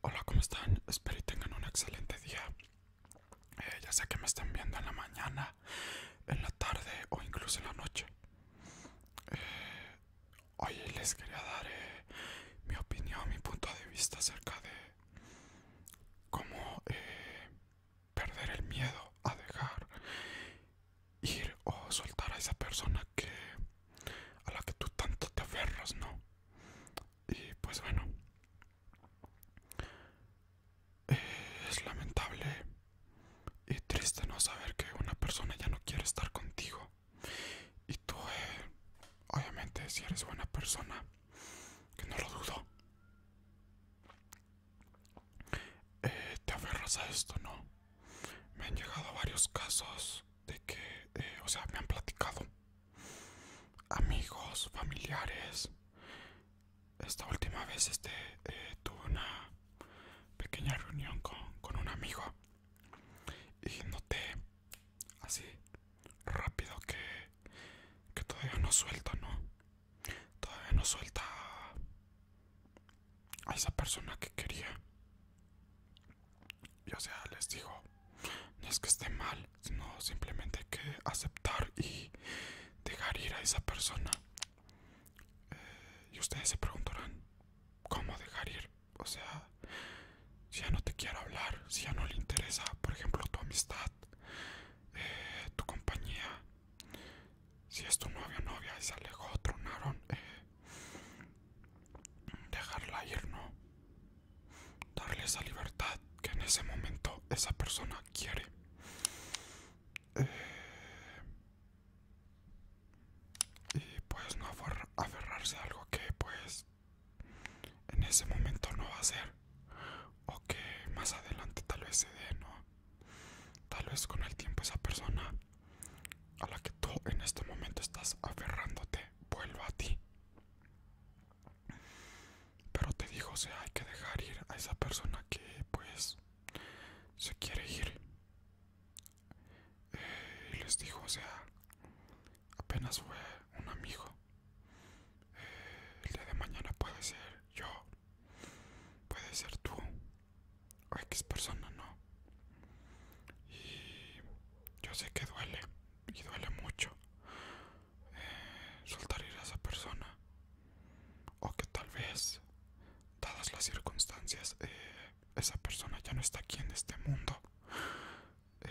Hola, ¿cómo están? Espero que tengan un excelente día. Eh, ya sé que me están viendo en la mañana, en la tarde o incluso en la noche. Eh, hoy les quería dar eh, mi opinión, mi punto de vista acerca de cómo perder el miedo a dejar ir o soltar a esa persona que a la que tú tanto te aferras, ¿no? Y pues bueno, es lamentable y triste no saber que una persona ya no quiere estar contigo. Y tú, eh, obviamente, si eres buena persona, que no lo dudo, eh, te aferras a esto, ¿no? Me han llegado varios casos de que, eh, o sea, me han platicado amigos, familiares. Esta última vez este, eh, tuve una pequeña reunión con, con un amigo y noté así rápido que que todavía no suelta, ¿no? Todavía no suelta a esa persona que quería. Y o sea, les digo, no es que esté mal, sino simplemente hay que aceptar y dejar ir a esa persona. Eh, y ustedes se preguntarán, ¿cómo dejar ir? O sea, si ya no te quiero hablar, si ya no le interesa, por ejemplo, tu amistad, eh, tu compañía. Si es tu novia o novia y se alejó, tronaron, eh, dejarla ir, no. Darle esa libertad que en ese momento esa persona quiere. Eh, y pues no aferrarse a algo que pues en ese momento no va a ser o que más adelante tal vez se dé no tal vez con el tiempo esa persona a la que tú en este momento estás aferrándote vuelva a ti pero te dijo, o sea hay que dejar ir a esa persona que pues se quiere ir eh, y les dijo, o sea apenas fue un amigo el día de mañana puede ser yo, puede ser tú o X persona, ¿no? Y yo sé que duele y duele mucho eh, soltar ir a esa persona o que tal vez, dadas las circunstancias, eh, esa persona ya no está aquí en este mundo. Eh,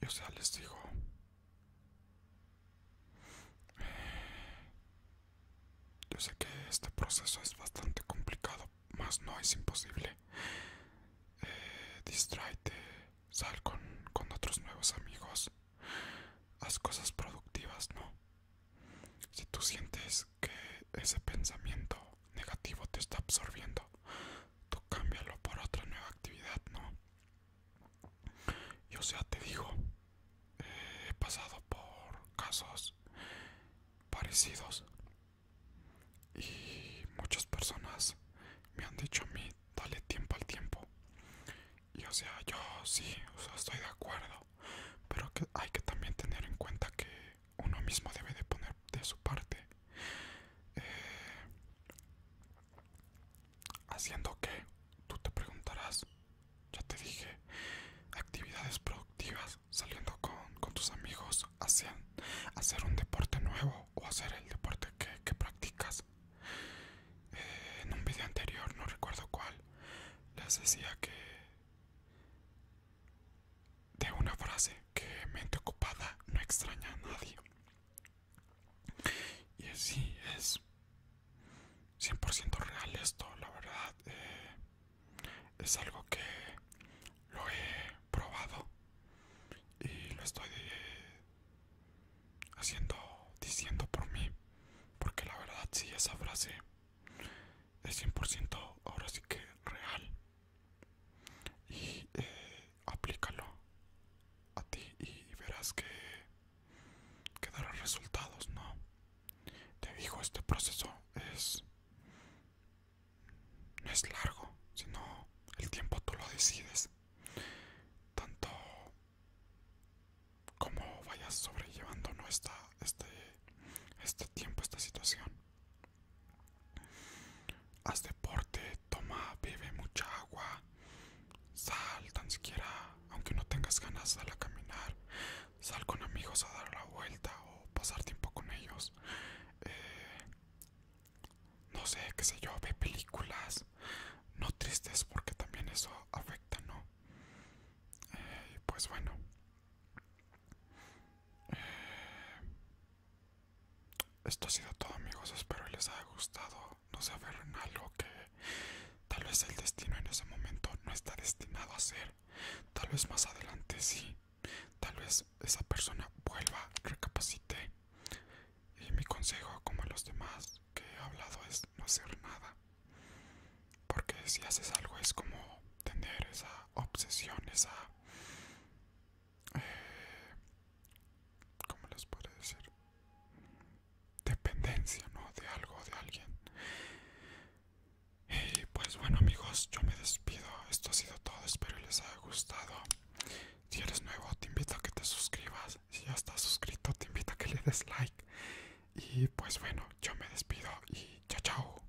yo o sea, les digo... Yo sé que este proceso es bastante complicado, más no es imposible. Eh, Distraite, sal con, con otros nuevos amigos, haz cosas productivas, ¿no? Si tú sientes que ese pensamiento negativo te está absorbiendo. Tú cámbialo por otra nueva actividad, ¿no? Yo o sea, te digo, eh, he pasado por casos parecidos y muchas personas me han dicho a mí, dale tiempo al tiempo. Y o sea, yo sí, estoy de acuerdo, pero que hay que también tener en cuenta que uno mismo debe de poner de su parte eh, haciendo que tú te preguntarás ya te dije actividades productivas saliendo con, tus amigos hacer un deporte nuevo o hacer el deporte que, practicas eh, en un video anterior no recuerdo cuál les decía que de una frase que mente ocupada no extraña a nadie. Y así es 100% real esto, la verdad. Eh, es algo que lo he probado y lo estoy eh, haciendo, diciendo por mí. Porque la verdad, si sí, esa frase es 100% ahora sí que real y eh, aplícalo a ti y verás que, que resultados no te digo este proceso es no es largo sino el tiempo tú lo decides tanto cómo vayas sobrellevando este, este tiempo, esta situación. Haz deporte, toma, bebe mucha agua, sal tan siquiera, aunque no tengas ganas, sal a caminar, sal con amigos a dar la vuelta o pasar tiempo con ellos. Eh, no sé, qué sé yo, ve películas, no tristes porque también eso afecta, ¿no? Y eh, pues bueno. Eh, esto ha sido todo amigos, espero les haya gustado. No se aferren algo que tal vez el destino en ese momento no está destinado a ser. Tal vez más adelante sí. Tal vez esa persona vuelva, recapacite. Y mi consejo, como los demás que he hablado, es no hacer nada. Porque si haces algo es como tener esa obsesión, esa... Eh, ¿Cómo les puede decir? Dependencia, ¿no? De algo, de alguien. Y pues bueno amigos, yo me despido. Esto ha sido todo, espero les haya gustado. Si eres nuevo, te invito a que te suscribas. Si ya estás suscrito, te invito a que le des like. Y pues bueno, yo me despido y chao chao.